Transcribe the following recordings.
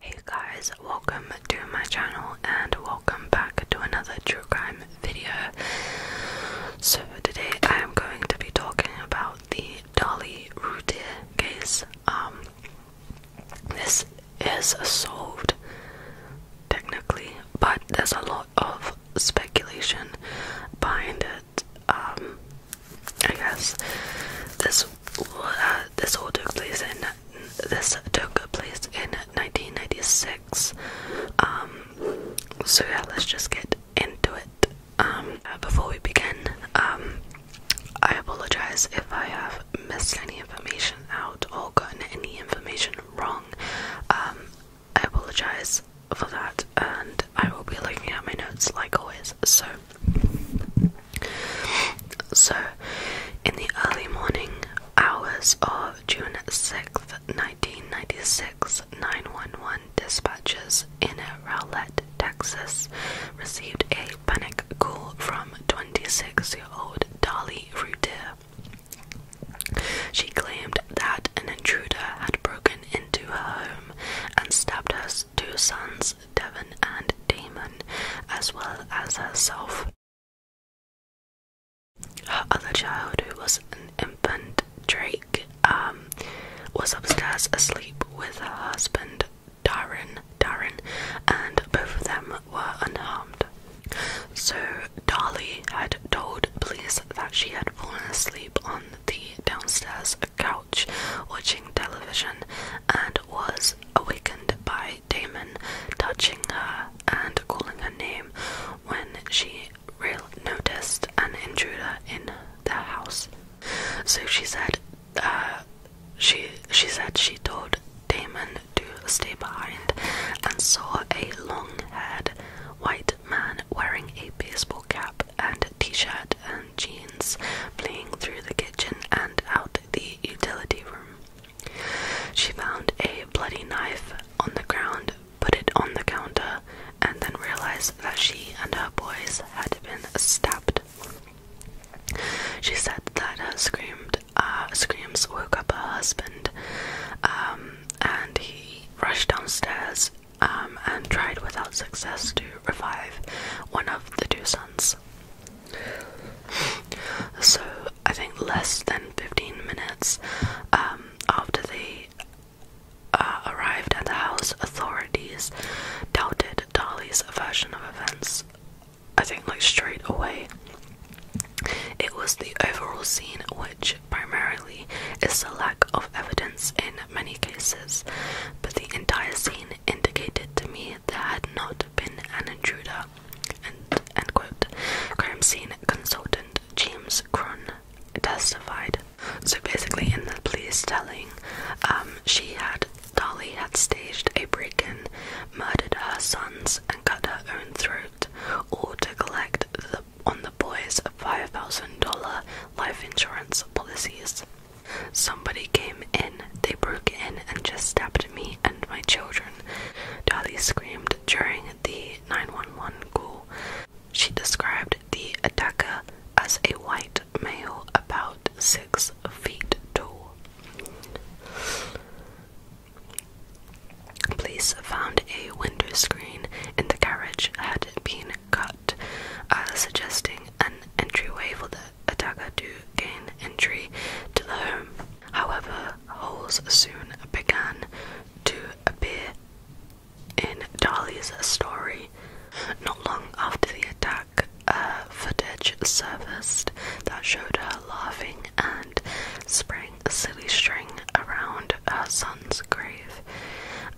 Hey guys, welcome to my channel and welcome back to another true crime video. So today I am going to be talking about the Dolly Routier case. Um, this is solved technically, but there's a lot of speculation behind it. Um, I guess this uh, this all took place in this took place in 1996. Um, so yeah, let's just get into it. Um, uh, before we begin, um, I apologize if I have missed any information out or gotten any information wrong. I apologize for that, and I will be looking at my notes like always. So, so, in the early morning hours of June 6th, 1996, 911 dispatchers in Rowlett, Texas, received a panic call from 26 year old Dolly Rudir. She claimed that an intruder had broken into her home and stabbed her two sons, Devon and Damon, as well as herself. Her other child, who was an infant, Drake, um, was upstairs asleep with her husband, Darren, Darren, and both of them were unharmed. So Dolly had told police that she had fallen asleep on the downstairs couch watching television and was awakened by Damon touching her and calling her name when she real noticed an intruder in their house. So she said uh, she she said she told Damon to stay behind and saw a long haired white man wearing a baseball cap and t shirt and jeans fleeing through the kitchen and out the utility room. She found a bloody knife on the ground, put it on the counter, and then realized that she and her boys had been stabbed. She said that her uh, screams woke up her husband, um, and he rushed downstairs um, and tried without success to revive one of the two sons. So I think less than 15 minutes um, after they uh, arrived at the house, authorities doubted Dolly's version of events. I think like straight away. It was the overall scene which primarily is the lack of evidence in many cases, but the entire scene indicated to me there had not been an intruder. end quote. Crime scene consultant James Cron testified. So basically, in the police telling, um, she had Dolly had staged a break-in, murdered her sons, and cut her own throat, all to collect on the boys' five thousand dollar life insurance policies. Somebody came in, they broke in and just stabbed me and my children, Dolly screamed during the 911 call. She described the attacker as a white male about six feet tall. Police found a window screen in the carriage had been cut, uh, suggesting an entryway for the attacker to gain entry to the home. However, holes soon began to appear in Dali's story. Not long after the attack, uh, footage surfaced that showed her laughing and spraying a silly string around her son's grave.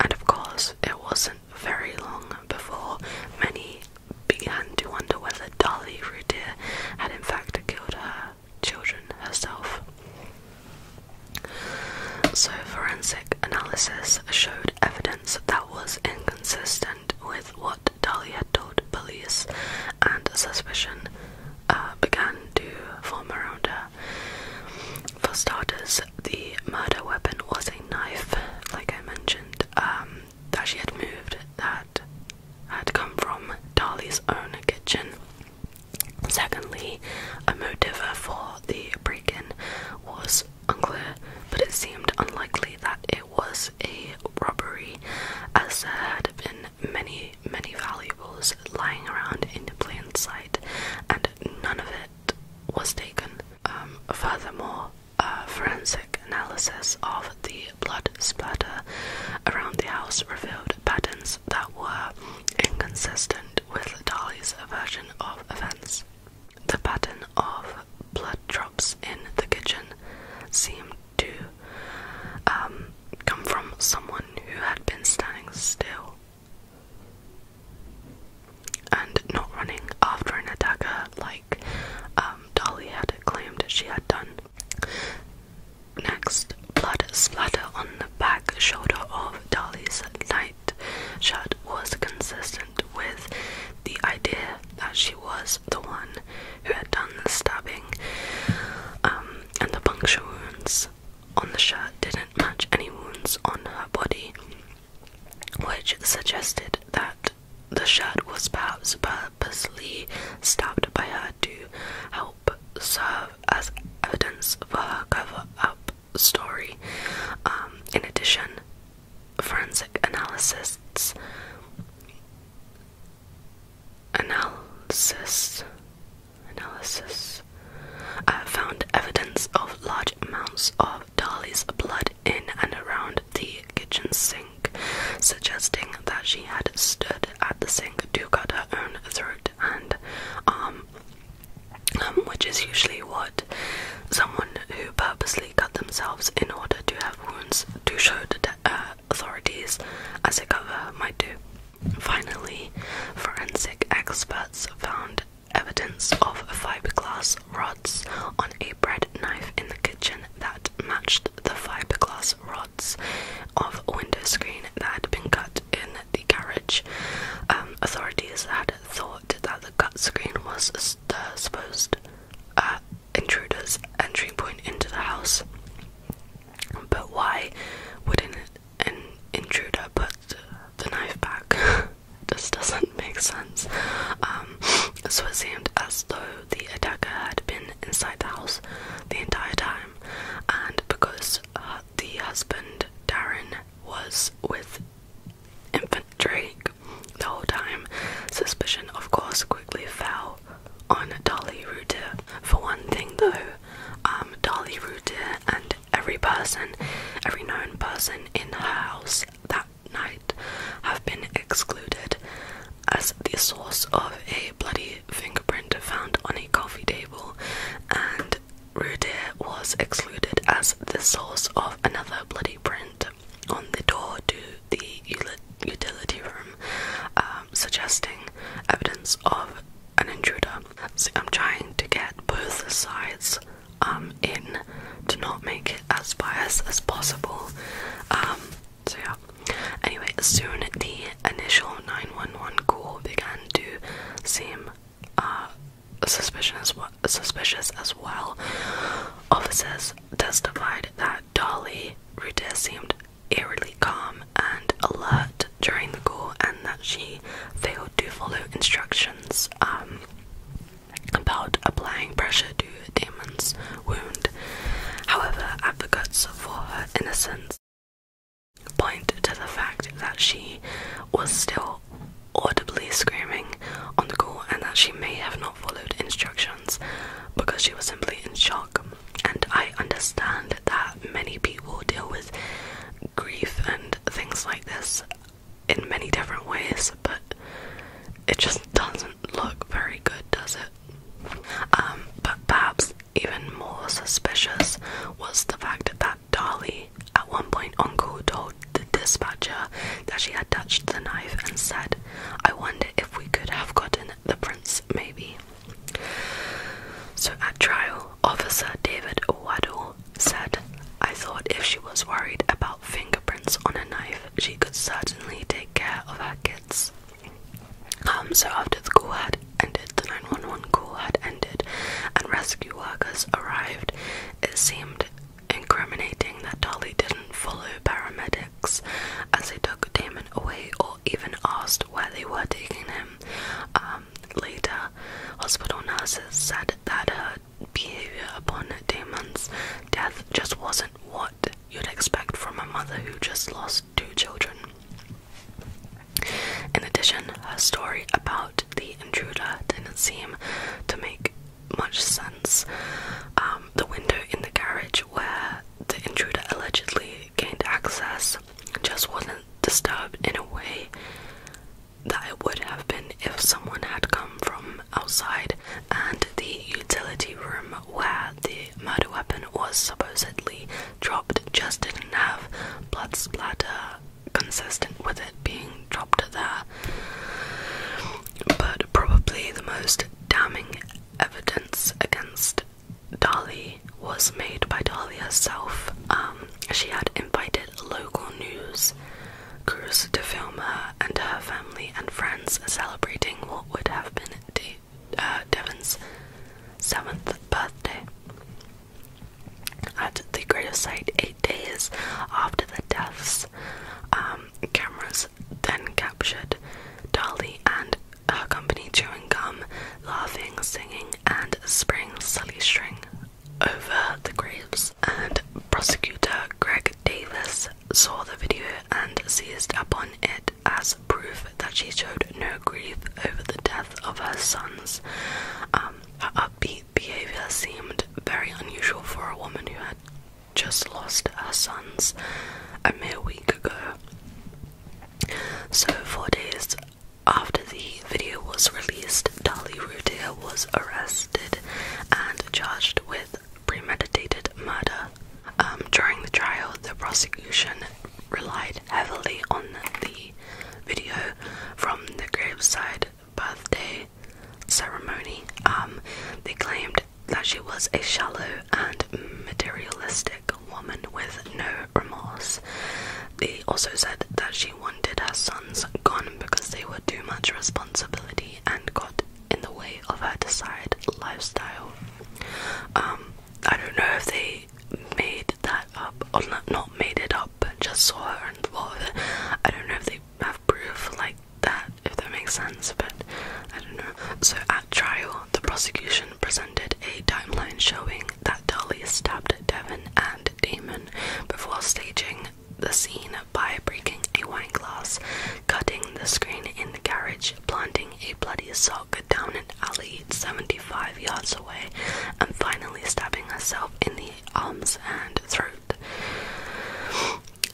And of course, it wasn't very long before many began to wonder whether Dolly Routier had in fact killed her children herself. So forensic analysis showed evidence that was inconsistent with what Dolly had told police and suspicion uh, began to form around her. For starters, the murder weapon was a knife, like I mentioned, um, that she had moved that had come from Dali's own kitchen. Secondly, a motive for the break in was unclear, but it seemed unlikely that it was a robbery, as there had been many, many valuables lying around in plain sight, and none of it was taken. Um, furthermore, a forensic analysis of the blood splatter around the house revealed patterns that were inconsistent with Dali's version of events. The pattern of blood drops in the kitchen seemed to um, come from someone who had been standing still and not running after an attacker like um, Dolly had claimed she had done. Next, blood splatter on the back shoulder of Dolly's night shirt was consistent with the idea that she was the one who had done the stabbing, um, and the puncture wounds on the shirt didn't match any wounds on her body which suggested that the shirt was perhaps purposely stabbed by her to help serve as evidence for her cover up story. Um, in addition, forensic analysts analysis analysis uh, found evidence of large amounts of Dali's blood in and around the kitchen sink, suggesting that she had stood at the sink to cut her own throat and um, which is usually what someone who purposely cut themselves in order to have wounds to show to uh, authorities as a cover might do. Finally, forensic experts found evidence of fiberglass rods on a bread knife in the kitchen that matched the fiberglass rods of a window screen that had been cut in the garage. Um, authorities had thought that the cut screen was the supposed uh, intruder's entry point into the house. But why wouldn't an intruder put the knife back? This doesn't make sense. Um, so it seemed as though the attacker had been inside the house the entire time, and because uh, the husband, Darren, was with infant the whole time, suspicion, of course, quickly fell on Dolly Rooter. For one thing, though, um, Dolly Rooter and every person, every known person in her house that night have been excluded as the source of a bloody fingerprint found on a coffee table, and Rudir was excluded as the source of another bloody print on the door to the utility room, um, suggesting evidence of an intruder. I'm trying to get both sides um, in to not make it as biased as possible. Um, so, yeah. Anyway, soon the initial 911 call began to seem uh, suspicious, suspicious as well. Officers testified that Dolly Ruta seemed eerily calm and alert during the call and that she failed to follow instructions. Um, about applying pressure to Damon's wound. However, advocates for her innocence point to the fact that she was still audibly screaming on the call and that she may have not followed instructions because she was simply in shock. And I understand that many people deal with grief and things like this in many different ways, but it just doesn't look very good, does it? Um, but perhaps even more suspicious was the fact that Dolly, at one point, Uncle told the dispatcher that she had touched the knife and said, I wonder if we could have gotten the prince, maybe. So at trial, Officer David Waddell said, I thought if she was worried about fingerprints on a knife, she could certainly take care of her kids. Um, so after the call had ended, the 911 call had ended, and rescue workers arrived, it seemed incriminating that Dolly didn't follow paramedics as they took Damon away or even asked where they were taking him. Um, later, hospital nurses said that her behavior upon Damon's death just wasn't what you'd expect from a mother who just lost two children. In addition, her story about the intruder didn't seem to make much sense. Um, the window in the garage where the intruder allegedly gained access just wasn't disturbed in a way that it would have been if someone had come from outside, and the utility room where the murder weapon was supposedly dropped just didn't have blood splatter consistent with it being dropped there. But probably the most damning evidence against Dali was made by Dali herself. Um, she had invited local news crews to film her and her family and friends celebrating what would have been uh, Devon's seventh birthday. At the gravesite, eight days after the deaths, um, cameras then captured Dolly and her company chewing gum, laughing, singing, and spraying silly string over the graves and prosecutor Greg Davis saw the video and seized upon it as proof that she showed no grief over the death of her sons. Um, her upbeat behavior seemed very unusual for a woman who had just lost her sons a mere week ago. So, four days after the video was released, Dali Rudiger was arrested and charged with premeditated murder. Um, during the trial, the prosecution relied heavily on the video from the graveside birthday ceremony. Um, they claimed that she was a shallow and materialistic woman with no remorse. They also said that she wanted her sons gone because they were too much responsibility and got in the way of her desired lifestyle. Um, I don't know if they made that up or not, not made it up, but just saw her and thought it. I don't know if they have proof like that, if that makes sense, but I don't know. So at trial, the prosecution presented a timeline showing that Dolly stabbed Devon and Damon before staging the scene by breaking a wine glass, cutting the screen in the garage, planting a bloody sock down an alley 75 yards away, and finally stabbing herself in the arms and throat.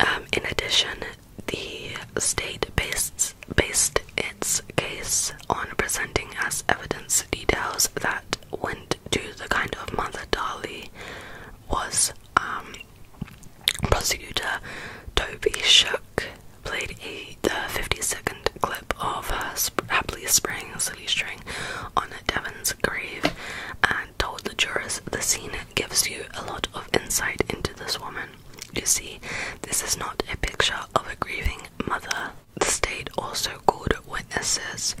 Um, in addition, the state based, based its case on presenting as evidence details that went to the kind of mother Dali was um, prosecutor Toby Shook played a the 50-second clip of her sp happily spraying a string on Devon's grave and told the jurors the scene gives you a lot of insight into this woman. You see, this is not a picture of a grieving mother. The state also called witnesses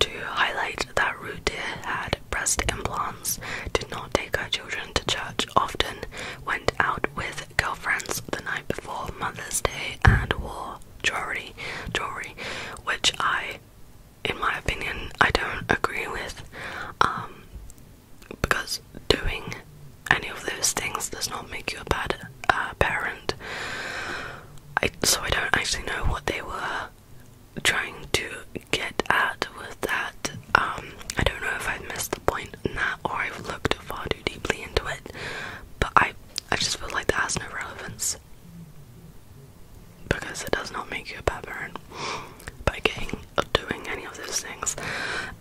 to highlight agreed that Rude had breast implants, did not take her children to church often, went out with girlfriends the night before Mother's Day, and wore jewelry, jewelry, which I, in my opinion, I don't agree with, um, because doing any of those things does not make you a bad uh, parent. so I don't actually know what they were trying to get at with that um, I don't know if I've missed the point in that or I've looked far too deeply into it, but I I just feel like that has no relevance because it does not make you a bad parent by doing any of those things.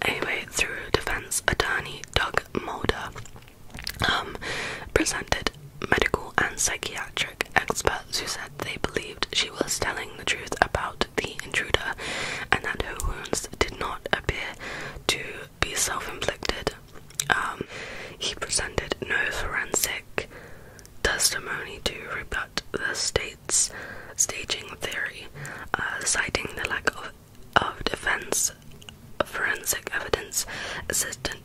Anyway, through defense attorney Doug Mulder um, presented medical and psychiatric experts who said they believed she was telling the truth about the intruder and that her wounds did not appear to be self inflicted. Um, he presented no forensic testimony to rebut the state's staging theory, uh, citing the lack of, defense forensic evidence,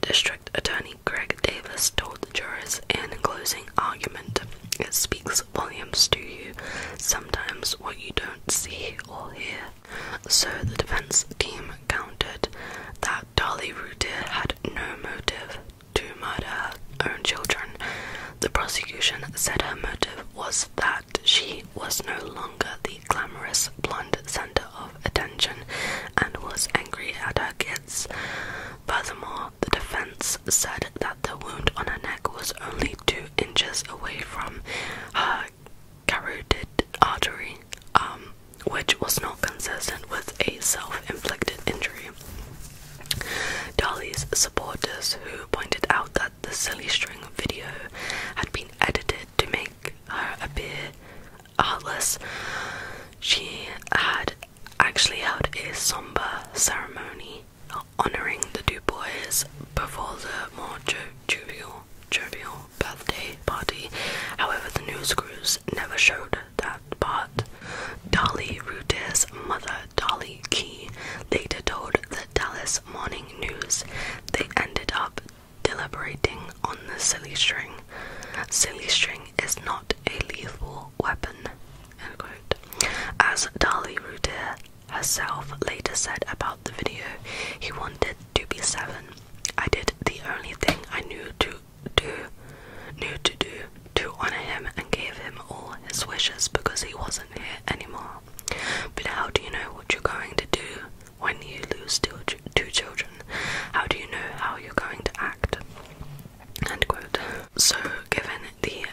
District Attorney Greg Davis told the jurors in closing argument, It speaks volumes to you, sometimes what you don't see or hear. So the defense team countered that Dolly Rudir had no motive to murder her own children. The prosecution said her motive was that she was no longer the glamorous blonde center of attention and was angry at her kids. Furthermore, the defense said that the wound on her neck was only two inches away from her carotid artery, um, which was not consistent with a self inflicted injury. Dolly's supporters, who pointed out that the silly string video had been edited to make her appear heartless. She had actually held a somber ceremony honoring the two boys before the more jovial, birthday party. However, the news crews never showed that part. Dolly Ruder's mother, Dolly Key, later told the Dallas Morning News they ended up deliberating on the silly string. Silly string is not a lethal weapon. As Dali Rudir herself later said about the video, he wanted to be seven. I did the only thing I knew to do, knew to do, to honor him and gave him all his wishes because he wasn't here anymore. But how do you know what you're going to do when you lose two, two children? How do you know how you're going to act? So given the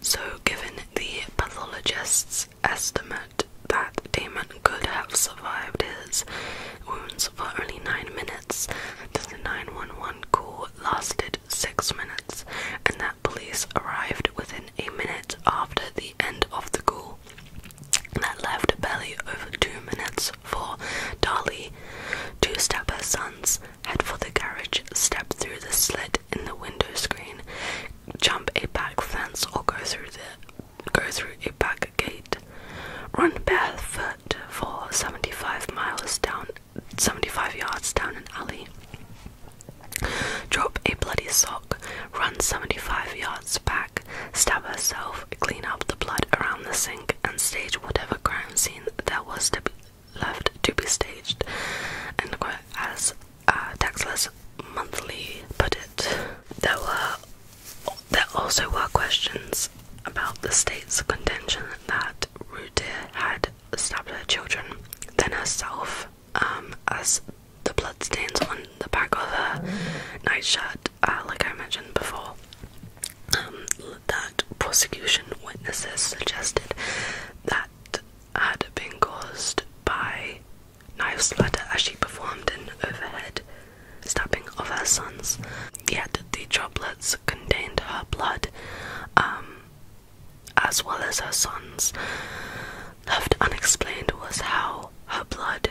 so given the pathologist's estimate that Damon could have survived his wounds for only nine minutes, the 911 call lasted six minutes, and that police arrived within a minute after the end of the call that left barely over two minutes for Dolly to step her sons, head for the garage, step through the slit in the window screen, jump a back fence or go through the go through a back gate. Run barefoot for seventy five miles down 75 yards down an alley. Drop a bloody sock, run 75 yards back stab herself, clean up the blood around the sink, and stage whatever crime scene there was to be left to be staged. And as uh, Taxless Monthly put it, there were there also were questions about the state's contention that Rudir had stabbed her children, then herself, um, as the bloodstains on the back of her nightshirt, uh, like I mentioned before. Um, that prosecution witnesses suggested that had been caused by knife splatter as she performed an overhead stabbing of her sons. Yet the droplets contained her blood, um, as well as her sons. Left unexplained was how her blood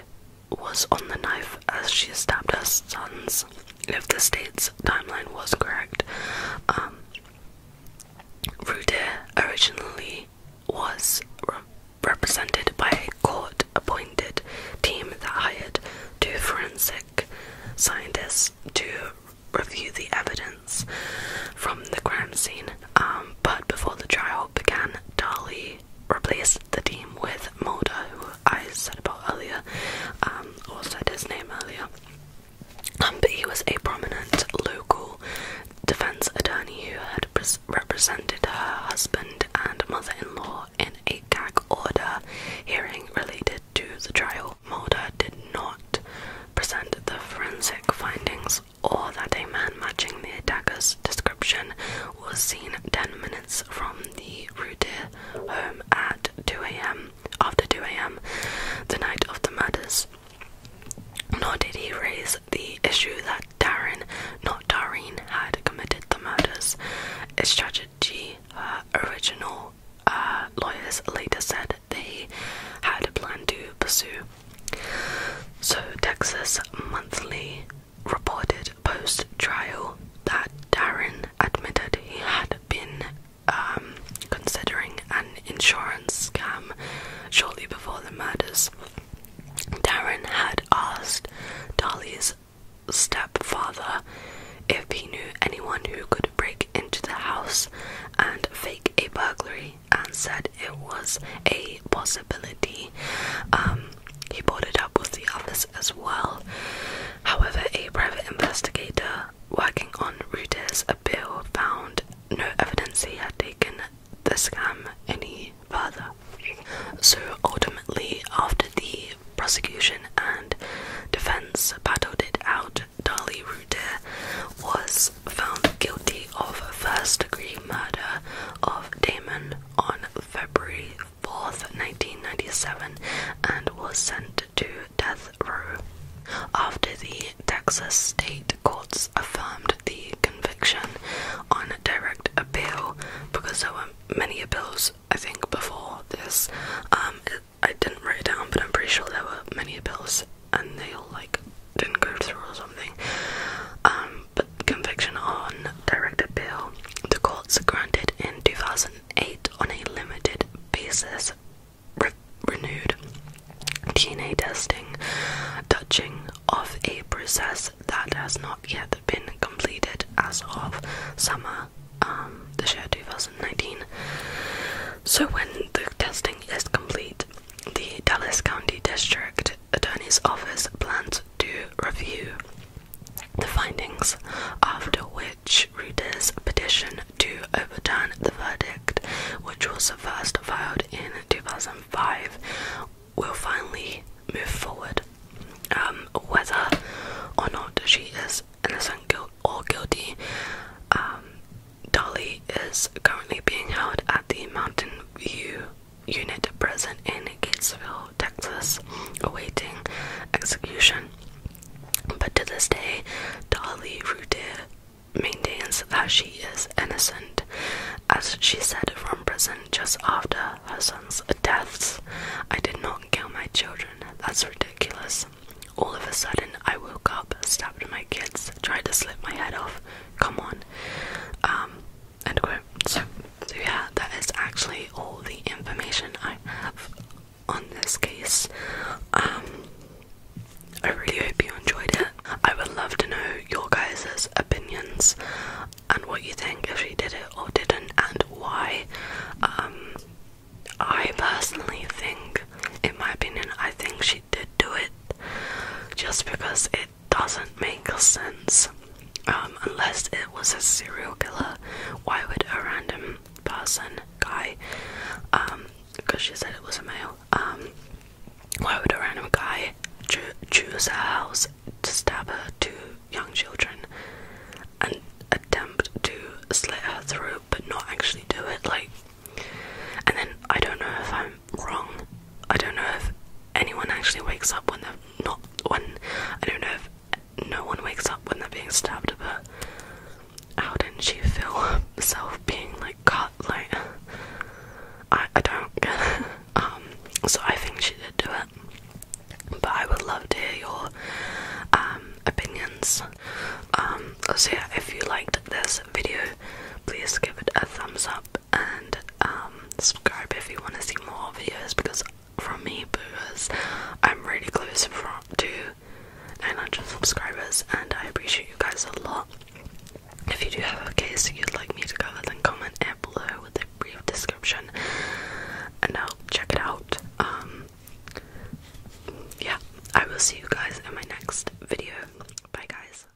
was on the knife as she stabbed her sons, if the state's timeline was correct. Um, originally was represented by a court appointed team that hired two forensic scientists to review the evidence from the crime scene. Um, but before the trial began, Dolly replaced the team with Moda, who I said about earlier, also um, said his name earlier. Um, but he was a prominent local defense attorney who had represented her husband and mother-in-law in a gag order hearing related to the trial. Mulder did not present the forensic findings or that a man matching the attacker's description was seen 10 minutes from the Rudir home at 2 a.m. after 2 a.m. the night of the murders. Nor did he raise the issue that Darrin, not Dareen, had committed the murders. Its strategy, her original uh, lawyers later said they had a plan to pursue. So, Texas Monthly reported post trial that Darren admitted he had been um, considering an insurance scam shortly before the murders. Darren had asked Dolly's stepfather if he knew anyone who could break into the house and fake a burglary and said it was a possibility. Um, he boarded up with the others as well. However, a private investigator working on Reuter's appeal found no evidence he had taken the scam any further. So ultimately, after the prosecution and defense battled it out, Dali Reuter was found guilty of first degree murder of Damon on February 4th, 1997, and was sent to death row. After the Texas state courts affirmed the conviction on direct appeal, because there were many appeals, I think, before this, um, I didn't write it down, but I'm pretty sure there were many appeals, and they all like didn't go through or something. Um, but conviction on direct appeal, the courts granted in 2008 on a limited basis renewed DNA testing, touching of a process that has not yet been completed as of summer um, this year 2019. So when the testing is complete, the Dallas County District Attorney's Office plans to review the findings, after which readers petition to overturn the verdict, which was first filed in 2005, will finally move forward. Um, whether or not she is innocent or guilty, um, Dolly is currently being held at the Mountain View unit present in Gatesville, Texas, awaiting execution. But to this day, Dolly Rudier maintains that she is innocent, as she said from prison just after her son's deaths. I did not kill my children. That's ridiculous. All of a sudden, I woke up, stabbed my kids, tried to slit my head off. Come on. Um, End quote. So, so yeah, that is actually all the information I have on this case. Um, I really hope you enjoyed it. I would love to know your guys' opinions and what you think if she did it or didn't and why. Um, I personally think, in my opinion, I think she did do it just because it doesn't make sense. Um, unless it was a serial killer, why would a random person, guy, because um, she said it was a male, um, why would a random guy choose a house to stab two young children and attempt to slit her throat but not actually do it? Like, and then I don't know if I'm i wrong. I don't know if anyone actually wakes up when they're not. When I don't know if no one wakes up when they're being stabbed. But how did she feel herself being like cut? Like I, I don't get it. Um, so I think she did do it. But I would love to hear your um opinions. Um, so yeah, if you liked this video, please give it a thumbs up and um, subscribe if you want to see more videos because from me booers, I'm really close from to 900 subscribers and I appreciate you guys a lot. If you do have a case you'd like me to cover, then comment down below with a brief description and I'll check it out. Um, yeah, I will see you guys in my next video. Bye, guys.